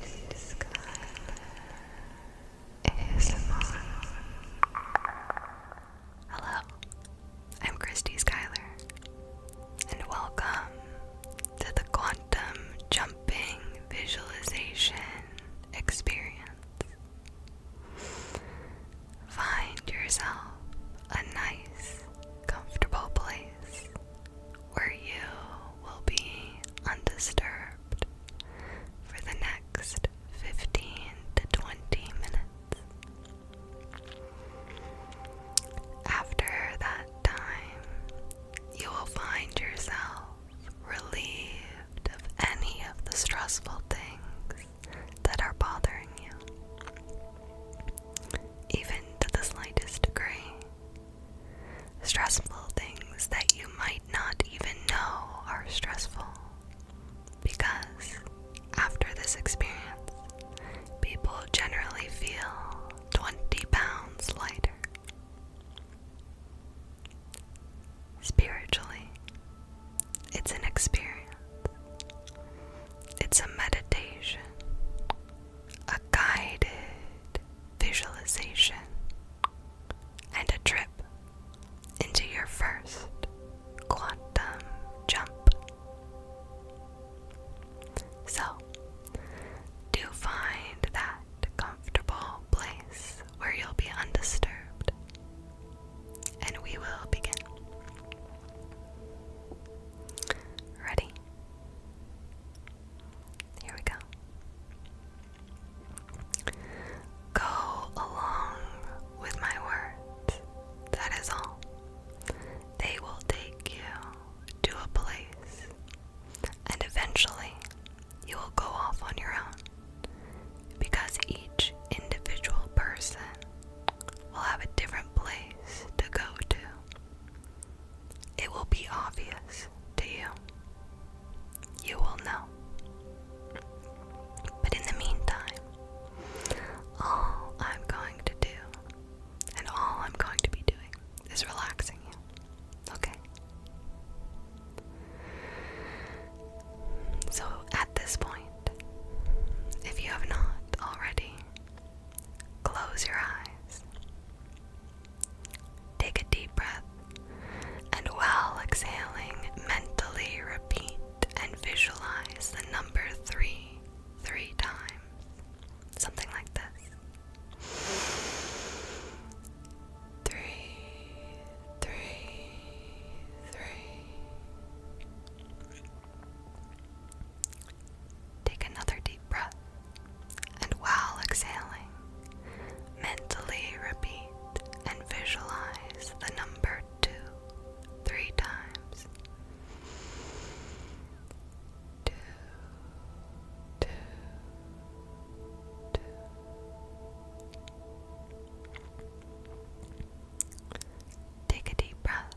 Christy Skyler Hello, I'm Christy Skyler, and welcome to the Quantum Jumping Visualization Experience. Find yourself a nice, comfortable place where you will be undisturbed for the next 15 to 20 minutes. After that time, you will find yourself relieved of any of the stressful things that are bothering you, even to the slightest degree. Stressful things that you might not even know are stressful. Because after this experience, people generally feel 20 pounds lighter. Spiritually, it's an experience, it's a meditation, a guided visualization, and a trip into your first quantum jump. So, do find that comfortable place where you'll be undisturbed, and we will begin. Ready? Here we go. Go along with my words. That is all. They will take you to a place, and eventually you will go off on your own because each individual person will have a different place to go to. It will be obvious to you. You will know. But in the meantime, all I'm going to do, and all I'm going to be doing, is relaxing you. Okay? So at this point, if you have not already, close your eyes Take a deep breath and while exhaling, mentally repeat and visualize the number three, three times. Something like this. Three, three, three. Take another deep breath, and while exhaling, mentally repeat and visualize the number two three times. Two, two, two. Take a deep breath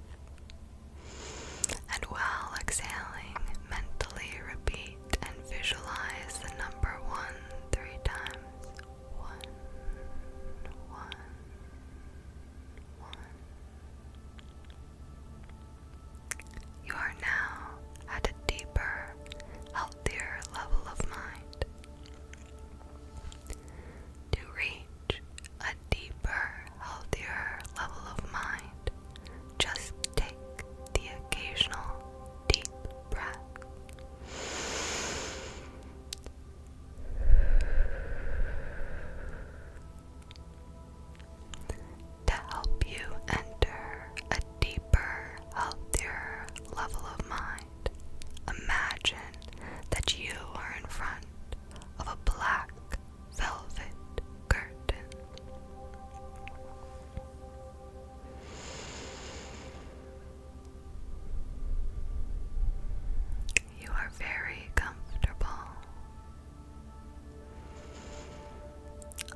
and while exhaling, mentally repeat and visualize the number one three times. One, one, one. You are now at a deeper, healthier level of mind. To reach a deeper, healthier level of mind, just take the occasional deep breath. To help you enter a deeper, healthier level of mind, imagine that you are in front of a black velvet curtain. You are very comfortable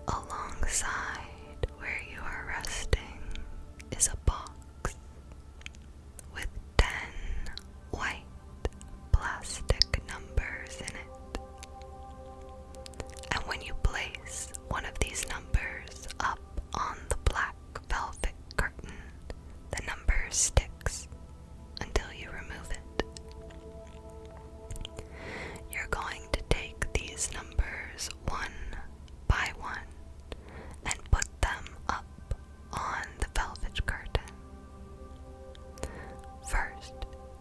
alongside where you are resting is a box with 10 white plastic numbers in it. And when you place one of these numbers up on the black velvet curtain, the number sticks until you remove it. You're going to take these numbers one by one and put them up on the velvet curtain. First,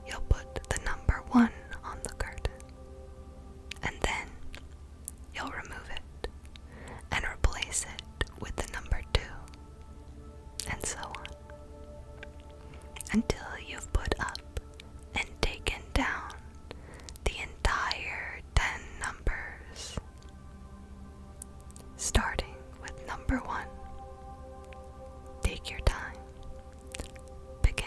you'll put the number one on the card, and then you'll remove it and replace it with the number two, and so on, until you've put up and taken down the entire ten numbers. Starting with number one. Take your time begin.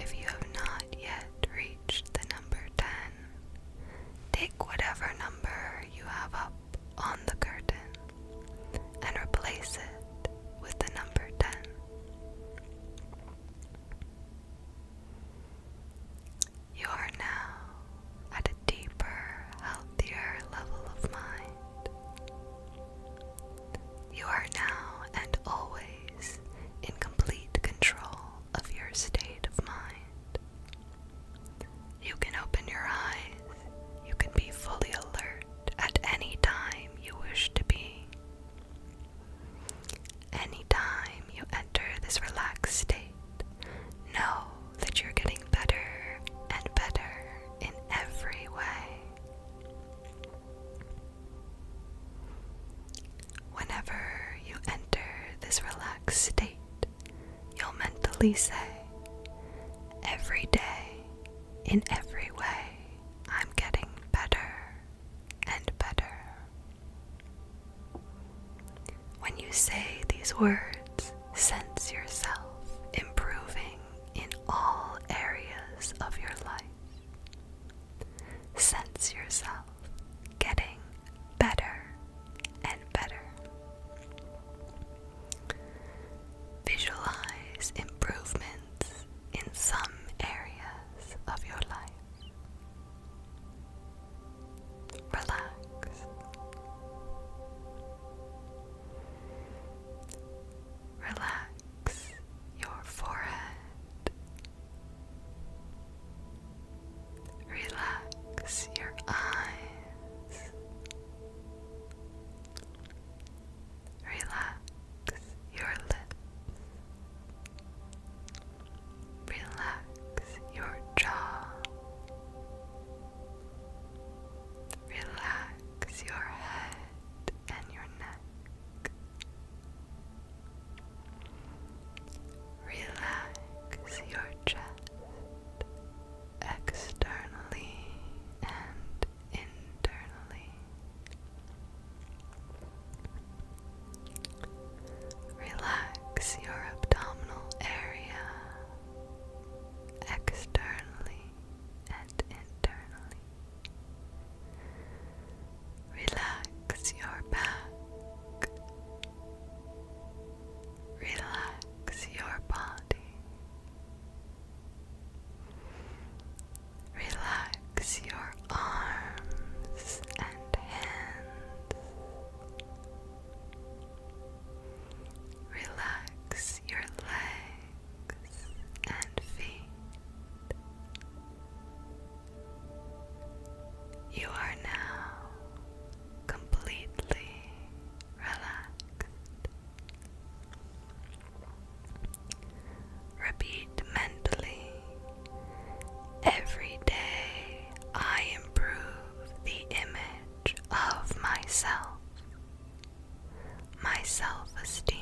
if you have not yet reached the number 10, take whatever number you have up on the curtain and replace it with the number 10. You are now at a deeper, healthier level of mind. You are now and always in complete control of your state of mind. You can open your eyes, you can be fully alert at any time you wish to be. Anytime you enter this relaxed state, know that you're getting better and better in every way. Whenever you enter this relaxed state, you'll mentally say, Every day, in every way, I'm getting better and better. When you say these words, sense yourself improving in all areas of your life. Sense yourself getting better and better. Visualize improvements in some areas of your life. Relax. Relax your forehead Relax your eyes. Relax your lips. Relax your jaw. Relax your head and your neck. Relax your chest externally and internally. Relax your abdominal area externally and internally. Relax your back. Relax your body. Relax your arms and hands. Relax your legs and feet. You are now completely relaxed. Repeat mentally every day I improve the image of myself, my self esteem.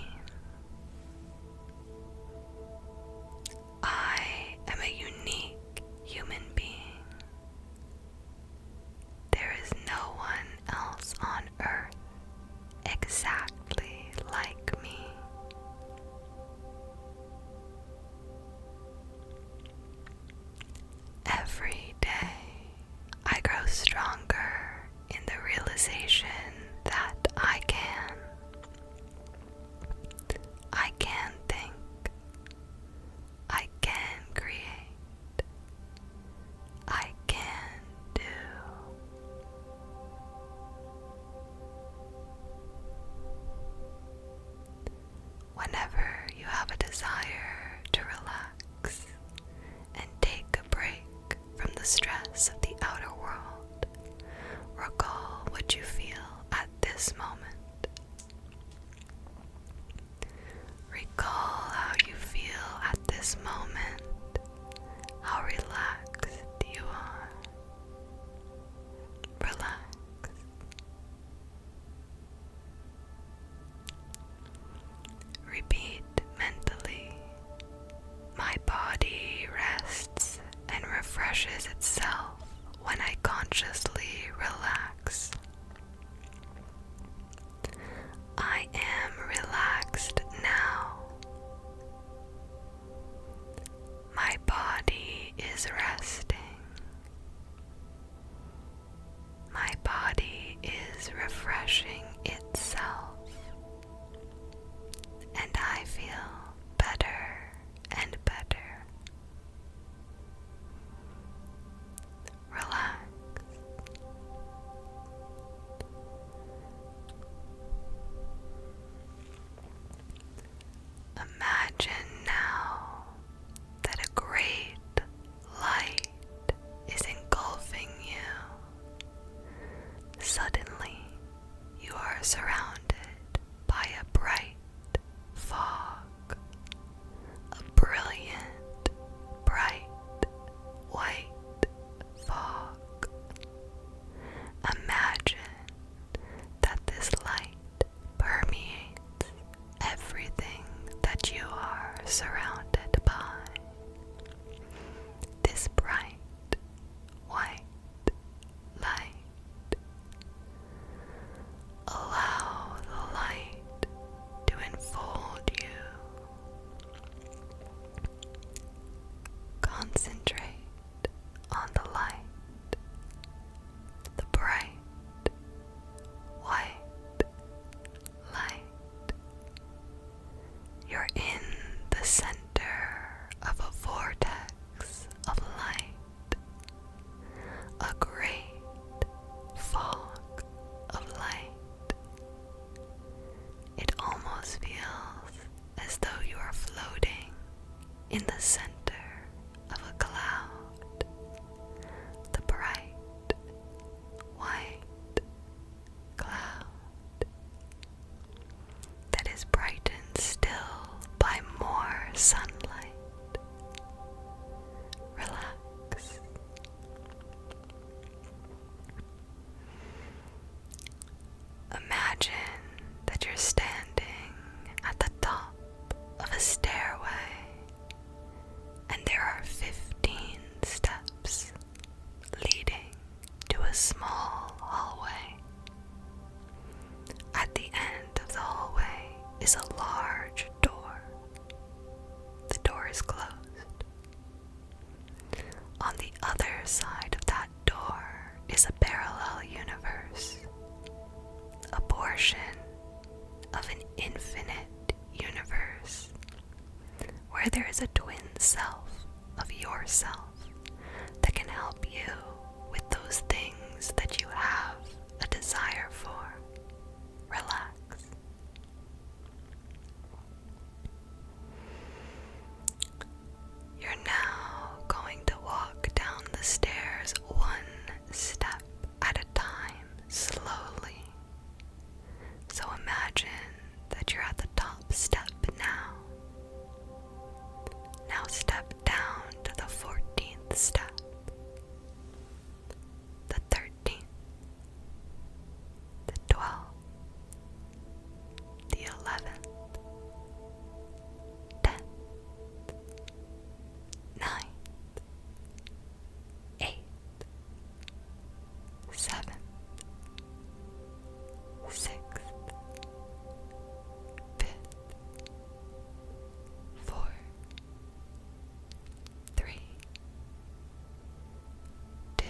I am a unique human being. There is no one else on earth exactly like me. Every day, I grow stronger in the realization that I can. I can think. I can create. I can do. Whenever you have a desire to relax and take a break from the stress of the outer world, Recall what you feel at this moment. Recall how you feel at this moment, how relaxed you are. Relax. Repeat mentally. My body rests and refreshes itself when I consciously relax. I am relaxed now. My body is resting. My body is refreshing itself, and I feel better and better. Relax. Imagine now that a great light is engulfing you. Suddenly, you are surrounded by a bright fog, a brilliant, bright, white fog. Imagine that this light permeates everything that you are surrounded by. This bright, white light. Allow the light to enfold you. Concentrate on the light, the bright, white light. You're in the center of a vortex of light, a great fog of light. It almost feels as though you are floating in the center of a cloud. The bright, white cloud that is brightened still by more sunlight. Relax. Imagine that you're standing at the top of a stairway and there are 15 steps leading to a small hallway. At the end of the hallway is a large door. The door is closed. On the other side of that door is a parallel universe, a portion of an infinite universe where there is a twin self of yourself that can help you with those things that you have a desire for. Relax. You're now going to walk down the stairs one step at a time, slowly. So imagine that you're at the top step now, now step down to the 14th step, the 13th, the 12th, the 11th, 10th, 9th, 8th, 7th, sixth, three, two,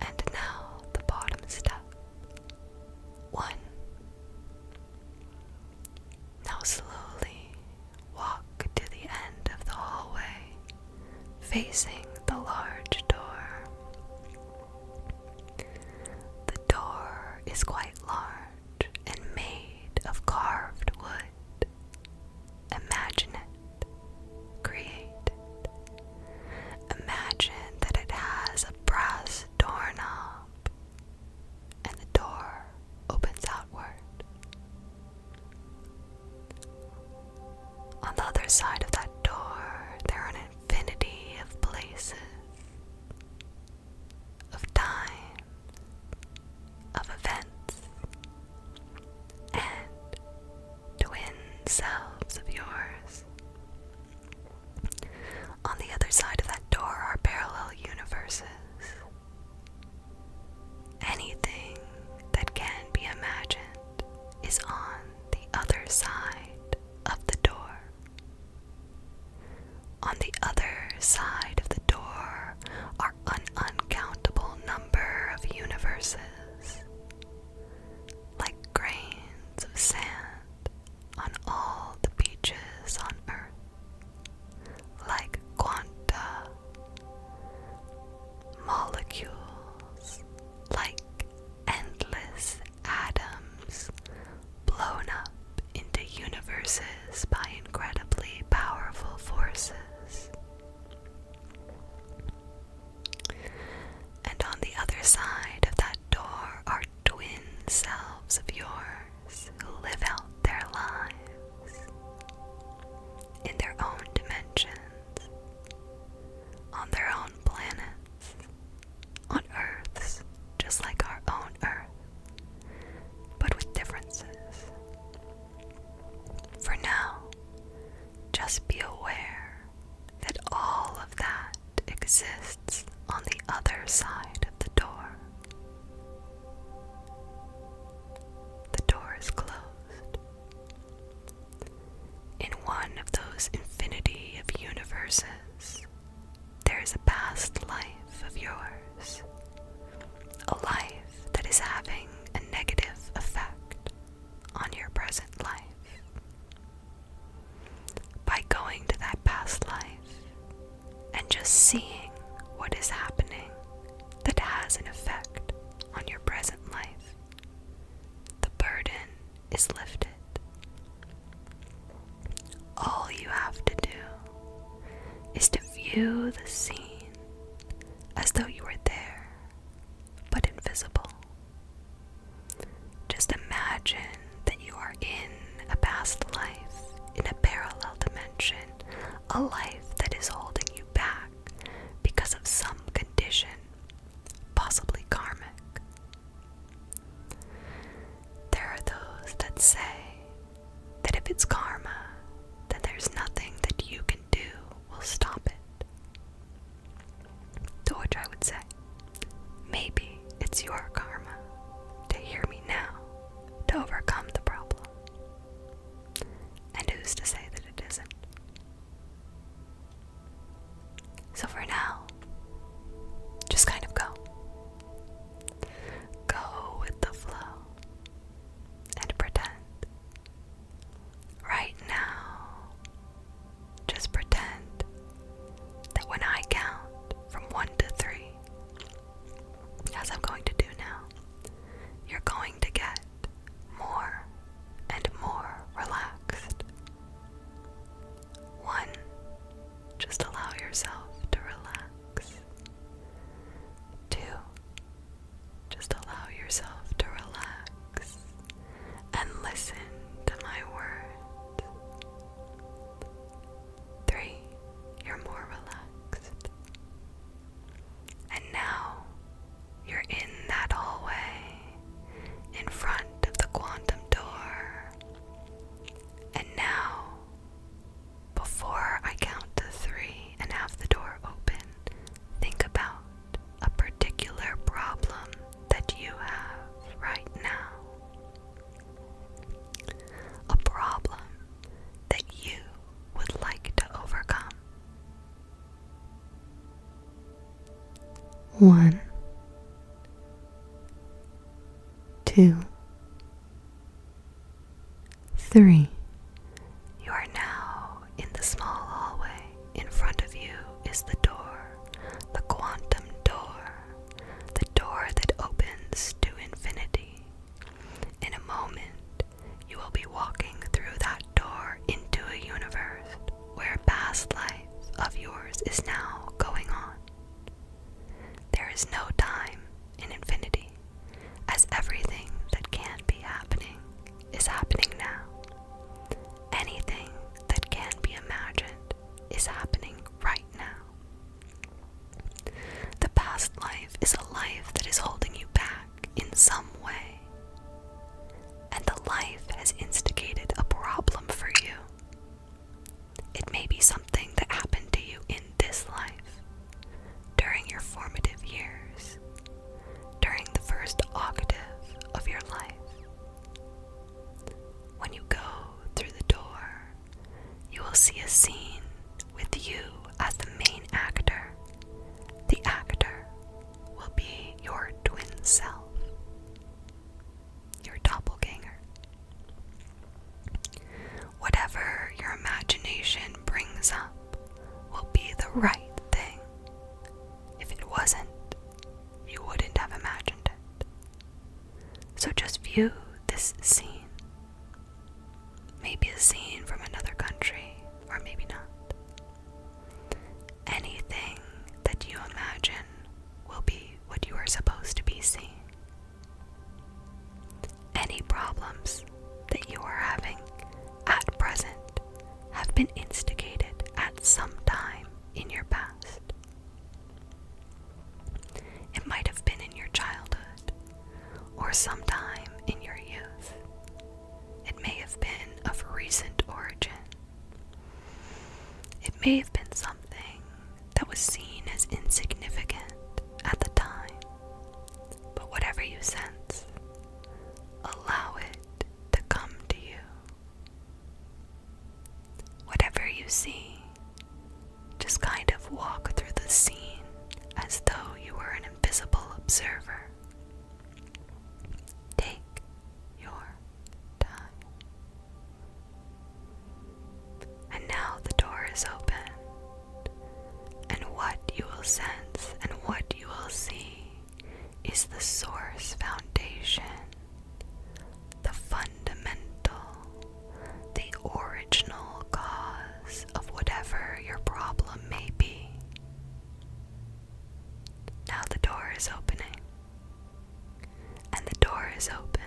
and now the bottom step. One. Now slowly walk to the end of the hallway, facing the large door. The door is quite large and made of carved wood. Imagine it. Create Imagine that it has a brass doorknob and the door opens outward. On the other side of that door, there are infinity of places, of time, of events, and twin selves of yours. On the other side of that door are parallel universes. Anything that can be imagined is on the other side of the door. On the other side of the door are an uncountable number of universes, like grains of sand on all the beaches on Earth, like quanta molecules, like endless atoms blown up into universes by incredibly powerful forces. And on the other side of that door are twin selves of yours who live out their lives in their own dimensions, on their own planets, on Earths, just like our own Earth, but with differences. For now, just be aware that all of that exists on the other side of the door. The door is closed. In one of those infinity of universes, there is a past life of yours, a life that is having a negative effect on your present life. By going to that past life and just seeing what is happening that has an effect on your present life, the burden is lifted. All you have to do is to view the scene as though you were there, but invisible. Just imagine that you are in a past life, in a parallel dimension, a life that is holding you back because of some condition, possibly karmic. There are those that say that if it's karma, then there's nothing that you can do will stop it. To which I would say, maybe it's your karma to hear me now to overcome the problem. And who's to say that it isn't? So for now, just kind of go. Go with the flow and pretend. Right now, just pretend that when I count from one to three, as I'm going to do now, you're going to get more and more relaxed. One, just allow yourself to relax. Two, just allow yourself to relax and listen to my words. Three, you're more relaxed. And now you're in that hallway in front of the quantum door. And now, before I count to three and have the door open, think about a particular problem that you have right now. A problem that you would like to overcome one, two, three. You are now in the small hallway. In front of you is the door, the quantum door, the door that opens to infinity. In a moment, you will be walking through that door into a universe where past life of yours is now going on. There is no time in infinity, as everything that can be happening is happening now. Anything that can be imagined is happening right now. The past life is a life that is holding you back in some way, and the life has instigated a problem for you. It may be something that happened to you in this life, during your formative years, during the first octave of your life. When you go through the door, you will see a scene with you as the main actor. The actor will be your twin self your doppelganger. Whatever your imagination brings up will be the right thing. If it wasn't, you wouldn't have imagined it. So just view this scene. Maybe a scene from another country, or maybe not. Anything that you imagine will be what you are supposed to be seeing. Any problems that you are having at present have been instigated at some time in your past. It might have been in your childhood or some time in your youth. It may have been of recent origin it may have been something that was seen as insignificant at the time, but whatever you sense, allow it to come to you. Whatever you see, just kind of walk through the scene as though you were an invisible observer. Take your time. And now the door is open, and what you will sense and what you will see is the source foundation, the fundamental, the original cause of whatever your problem may be. Now the door is opening and the door is open.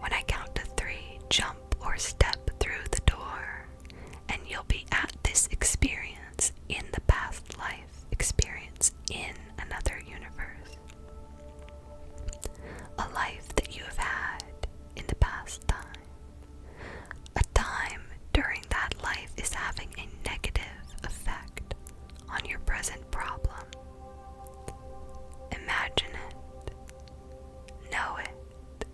When I count to three, jump or step through the door, and you'll be at this experience in the past life experience in another universe. A life that you have had in the past time. A time during that life is having a negative effect on your present problem. Imagine it, know it,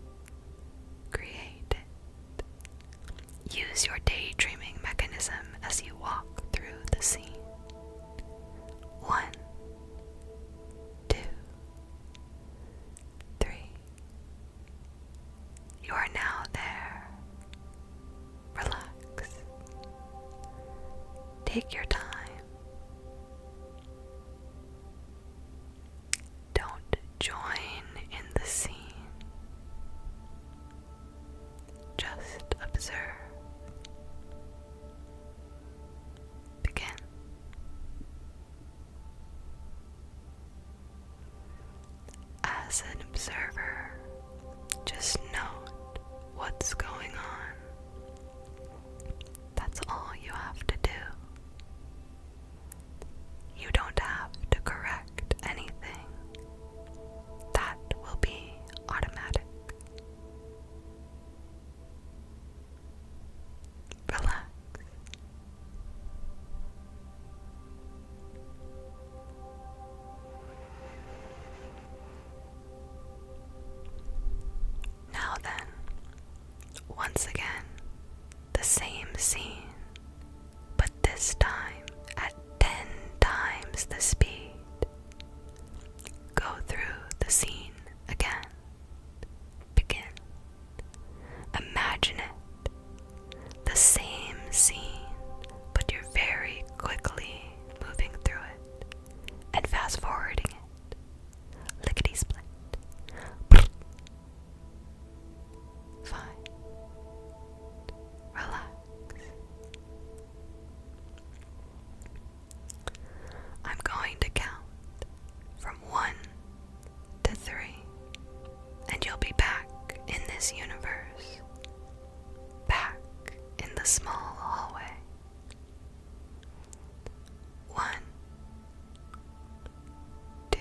create it. Use your daydreaming mechanism as you walk through the scene. One, two, three. You are now there relax. Take your time. Don't join in the scene. Just observe. Begin as an observer, just note what's going on. That's all you have to do. You don't have to correct anything, that will be automatic. Relax. Now then, once again, the same scene, but this time at ten times the speed. Go through the scene again. Begin. Imagine it. The same scene, but you're very quickly moving through it and fast forwarding it. Lickety split. Fine. Relax. I'm going to count from one to three, and you'll be back in this universe back in the small hallway. One, two,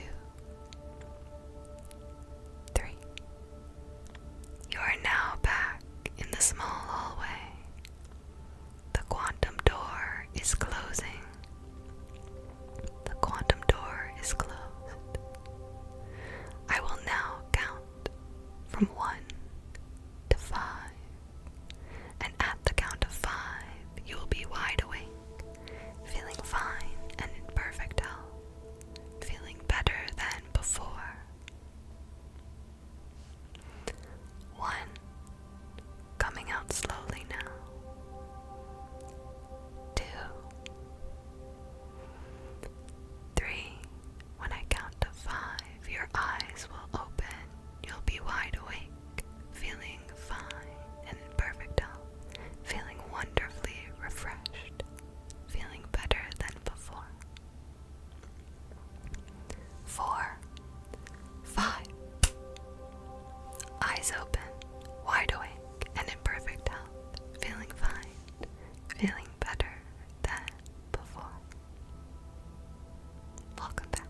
three. You are now back in the small hallway. The quantum door is closing. The quantum door is closed. I will now count from one to five. And at the count of five, you will be wide awake, feeling fine and in perfect health, feeling better than before. One, coming out slowly now. Two, Three, when I count to five, your eyes will open. You'll be wide awake, feeling fine and in perfect health, feeling wonderfully refreshed, feeling better than before. Four, five, eyes open, wide awake, and in perfect health, feeling fine, feeling better than before. Welcome back.